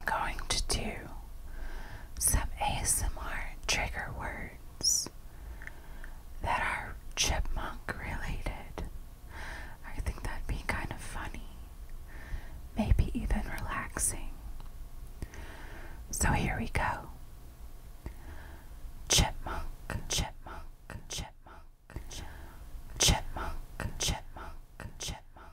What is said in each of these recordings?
I'm going to do some ASMR trigger words that are chipmunk related. I think that'd be kind of funny, maybe even relaxing. So here we go chipmunk, chipmunk, chipmunk, chipmunk, chipmunk, chipmunk, chipmunk,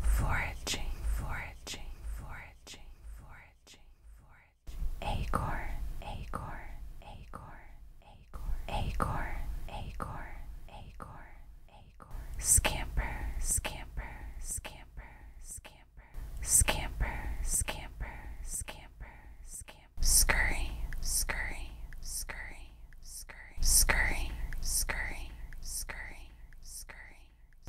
foraging, foraging, foraging, foraging, foraging. Acorn, acorn, acorn, acorn, acorn, acorn, acorn, acorn. Scamper, scamper, scamper, scamper, scamper, scamper, scamper, scamper. Scurry, scurry, scurry scurry, scurry, scurry, scurry, scurry.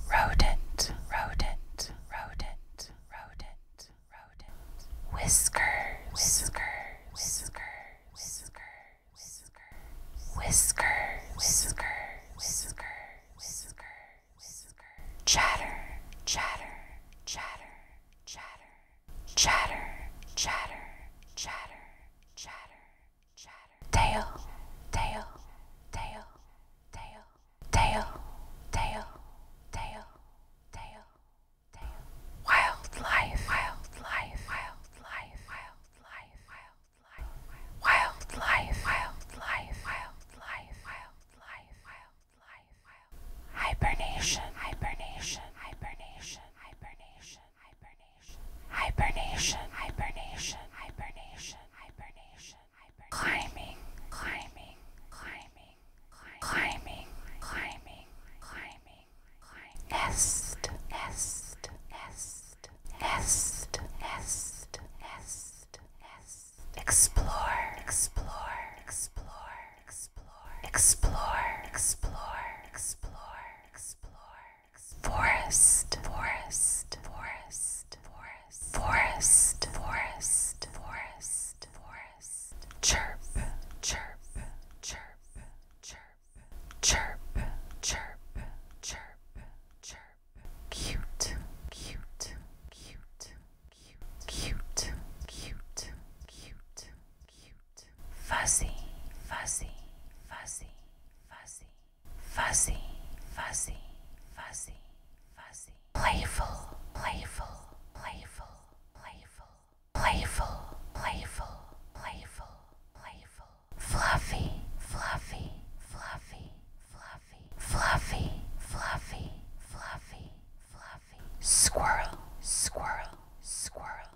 Rodent, rodent, rodent, rodent, rodent. Whiskers, whiskers, whiskers, whiskers, whiskers. Whiskers, whiskers, whiskers, whiskers, whiskers. Chatter, chatter, chatter, chatter, chatter, chatter, chatter, chatter chatter, tail, tail, tail, tail, tail, tail, tail, tail, wildlife, wildlife, wildlife, wildlife, wildlife, wildlife, hibernation, hibernation, hibernation, hibernation hibernation, hibernation, hibernation, hibernation, hibernation, hibernation, climbing, climbing, climbing, climbing, climbing, climbing, climbing, nest, nest, nest, nest, nest, nest, nest, explore, explore, explore, explore, explore, explore, explore explore, forest, forest, forest, forest, forest, forest, forest, forest, chirp, chirp, chirp, chirp, chirp, chirp, chirp, chirp, cute, cute, cute, cute, cute, cute, cute cute. Fuzzy, fuzzy, fuzzy, fuzzy, fuzzy, fuzzy, fuzzy, fuzzy. Playful, playful, playful, playful, playful, playful, playful, playful. Fluffy, fluffy, fluffy, fluffy, fluffy, fluffy, fluffy, fluffy. Squirrel, squirrel, squirrel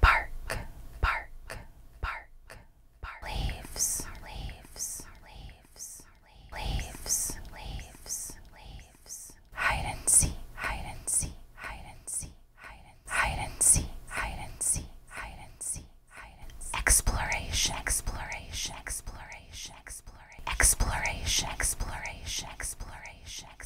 park, park, park, park, leaves, leaves, leaves, leaves, leaves, leaves, hide and see, hide and see, hide and see, hide and hide and see, hide and see, hide and see, hide and see, exploration, exploration, exploration, exploration, exploration, exploration, exploration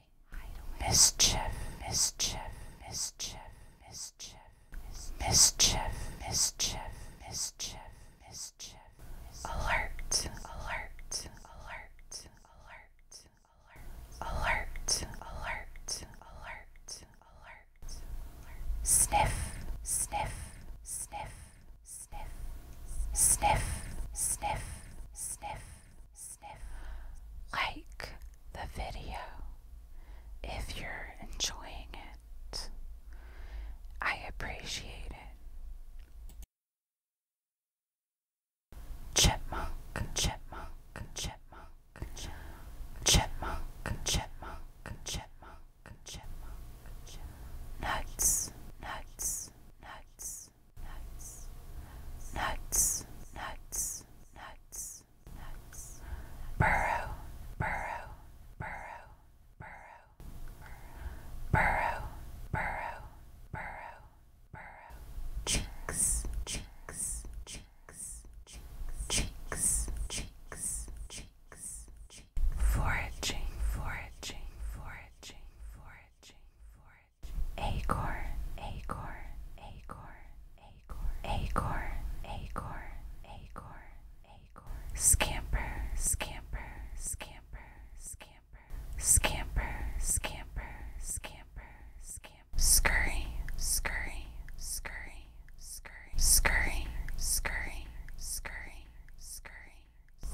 mischief, mischief, mischief, mischief, mischief, mischief, mischief, mischief, alert, alert, alert, alert, alert, alert, alert, alert, alert, sniff, sniff, sniff, sniff, sniff, sniff. Sniff, Sniff. Like the video if you're enjoying it. I appreciate it. Chipmunk, chipmunk, chipmunk, chipmunk, chipmunk, chipmunk, chipmunk, Nuts, nuts, nuts nuts, nuts, nuts, nuts, nuts, burrow, burrow, burrow, burrow, burrow, burrow, burrow, burrow, chinks, chinks, chinks, chinks, chinks, chinks, chinks, foraging, foraging, foraging, foraging, foraging acorn, acorn, acorn, acorn, acorn, acorn, acorn, acorn, scamper, scamper, scamper, scamper, scamper, scamper, scamper, scamper, scurry, scurry, scurry, scurry, scurry, scurry, scurry, scurry,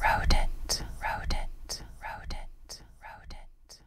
rodent, rodent, rodent, rodent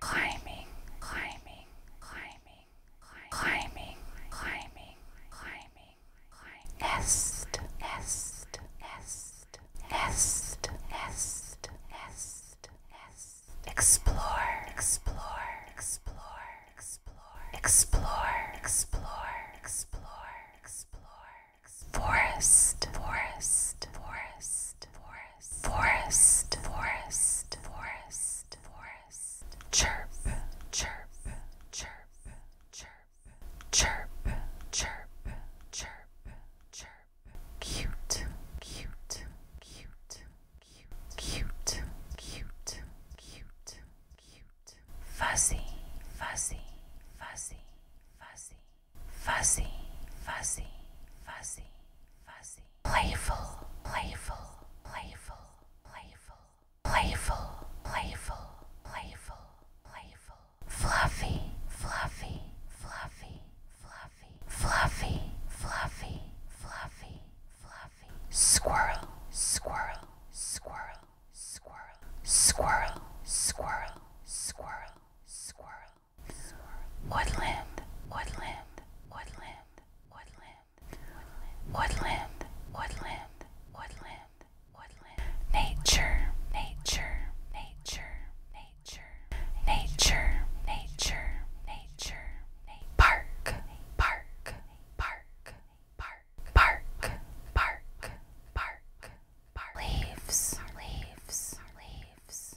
climbing, climbing, climbing, climbing, climbing, climbing, climbing, nest, nest, nest, nest, nest, nest, nest, explore, explore, explore, explore, explore, explore, explore, explore, forest, forest, forest, forest forest, forest, forest, forest, chirp, chirp, chirp, chirp, chirp, chirp, chirp, chirp, cute, cute, cute, cute, cute, cute, cute, cute, fuzzy, fuzzy, fuzzy, fuzzy fuzzy, fuzzy, fuzzy, fuzzy. Playful, playful, playful, playful, playful, playful, playful, playful. Fluffy, fluffy, fluffy, fluffy, fluffy, fluffy, fluffy, fluffy. Squirrel, squirrel, squirrel, squirrel, squirrel, squirrel, squirrel, squirrel woodland, woodland, woodland, woodland, woodland, woodland, woodland, woodland, nature, nature, nature, nature, nature, nature, nature, park, park, park, park, park, park, park, park, leaves, leaves, leaves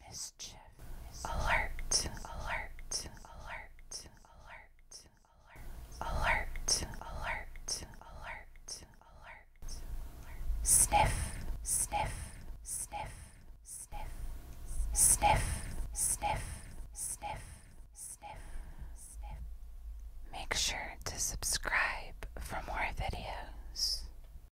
mischief, alert, alert, alert, alert, alert, alert, alert, alert, alert, sniff, sniff, sniff, sniff, sniff, sniff, sniff, sniff, sniff. Make sure to subscribe for more videos.